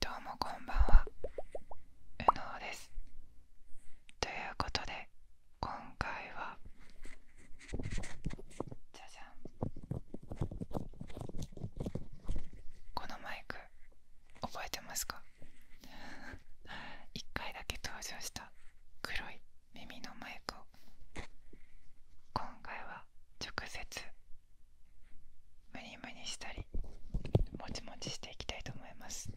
どうもこんばんはうのうですということで今回はじゃじゃんこのマイク覚えてますか 一回だけ登場した黒い耳のマイクを今回は直接ムニムニしたりもちもちしていきたいと思います。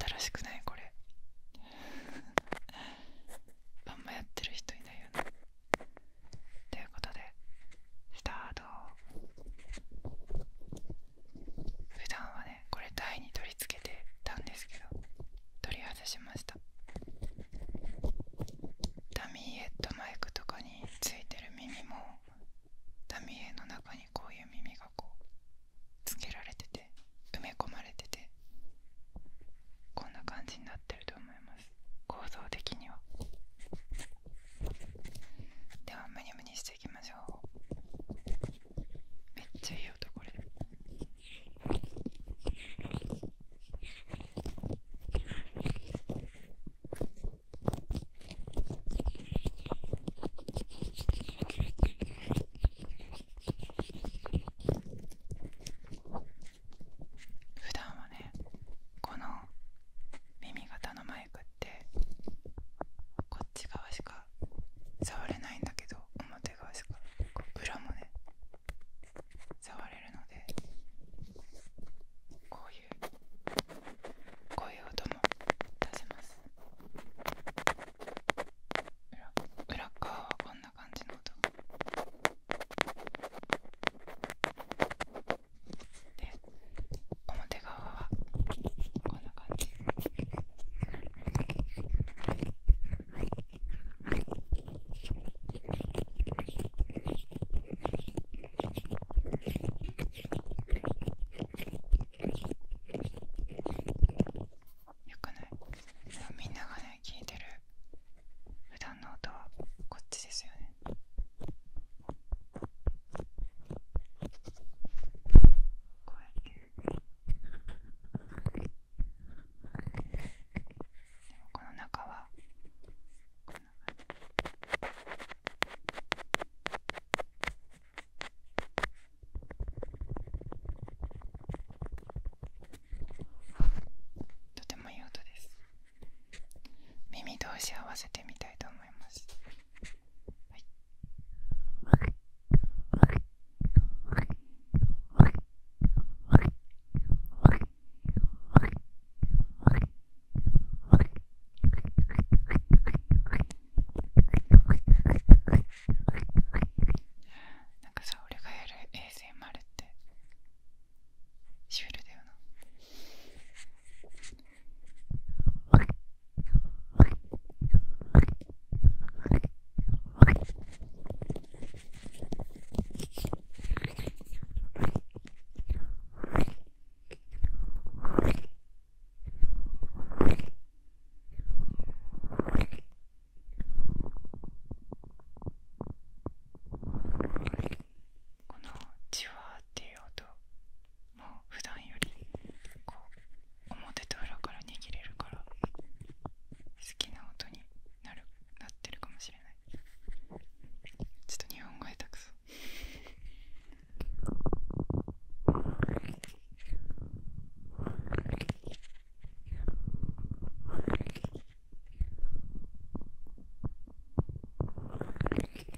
新しくないこれ あんまやってる人いないよねということでスタート普段はねこれ台に取り付けてたんですけど取り外しましたダミーヘッドマイクとかについてる耳もダミーヘの中にこういう耳がこうつけられてて埋め込まれててこんな感じになってると思います構造的にはではムニムニしていきましょうめっちゃいい音これ普段はねこの耳型のマイマイクってこっち側しか触れないんだけど表側しかこう裏もね触れるのでこういうこういう音も出せます裏側はこんな感じの音で表側はこんな感じよくないみんながね聞いてる普段の音はこっちですよね。こうの中はこの。な感とてもいい音です耳同士合わせてみたいと思いますなんかさ俺がやる衛星丸ってシュールだよなこのジュワっていう音もう普段よりこう表と裏から握れるから好きな音になるなってるかもしれないちょっと日本語下手くそ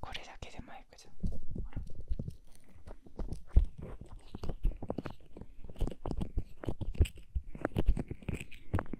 これだけでマイクじゃんほら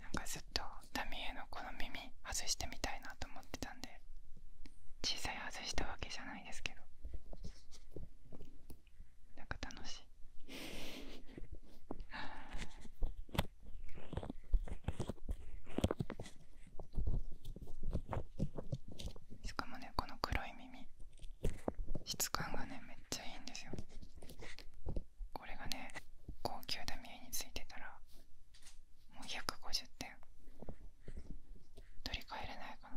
なんかずっとタミエのこの耳外してみたいなと思ってたんで小さい外したわけじゃないですけどなんか楽しいあ。しかもねこの黒い耳質感がねめっちゃいいんですよこれがね高級ダミエについてたらもう150点取り替えれないかな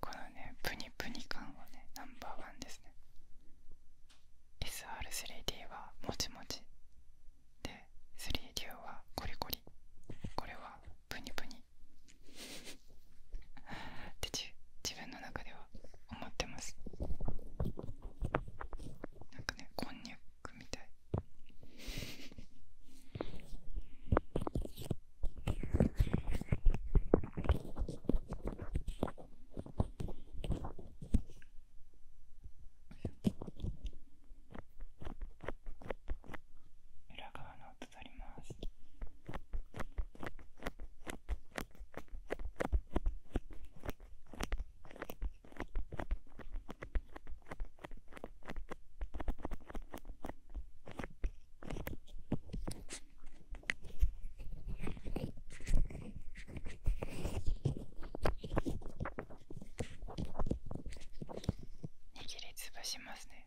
このねぷにぷに感はねナンバーワンですね SR3D はもちもちで 3D はコリコリこれはぷにぷに。ってじ自分の中では思ってますなんかねこんにゃくみたい裏側の握りつぶしますね。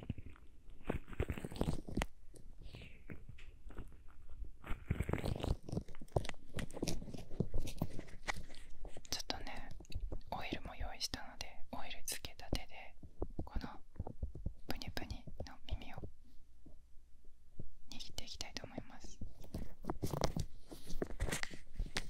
ちょっとねオイルも用意したのでオイルつけた手でこのぷにぷにの耳を握っていきたいと思います。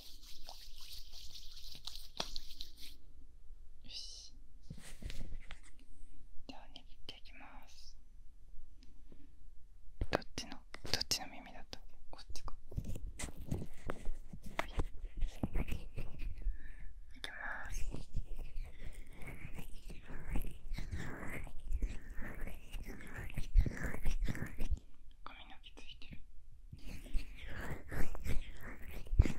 よしでは握っていきますどっちのどっちの耳だったこっちかいきます髪の毛ついてる。めっち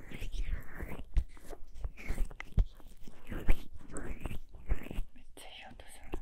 ゃいい音するな。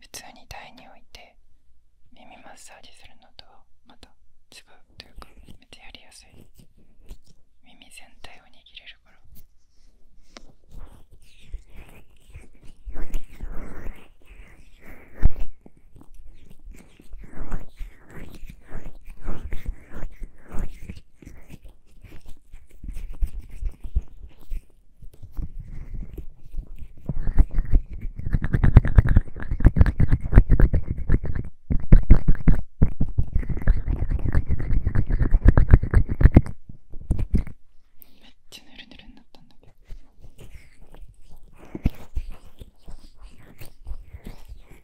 普通に台に置いて耳マッサージするのとまた違うというかめっちゃやりやすい耳全体を握れるから。めっちゃぬるぬるになったんだけど。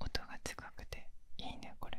音が近くていいねこれ。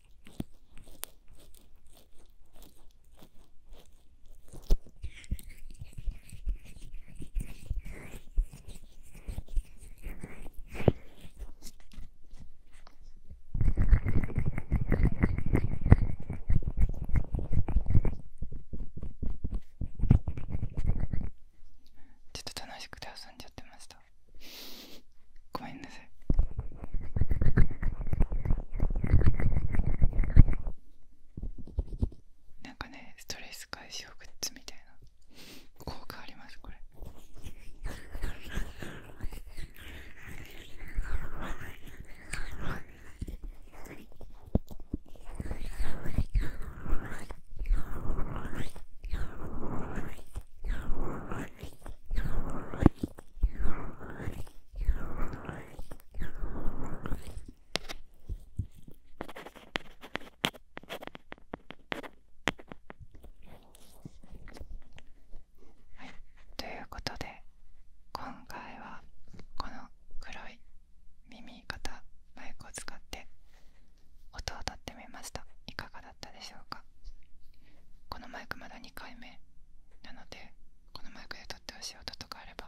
ちょっと楽しくて遊んじゃってました。ごめんなさいなんかねストレス解消グッズみたいな効果ありますこれはい。はい、ということで今回はこの黒い耳型マイクを使って音をとってみましたいかがだこのマイクまだ2回目なのでこのマイクで撮ってほしい音とかあれば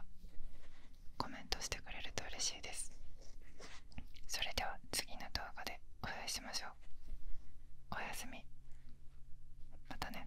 コメントしてくれると嬉しいですそれでは次の動画でお会いしましょうおやすみまたね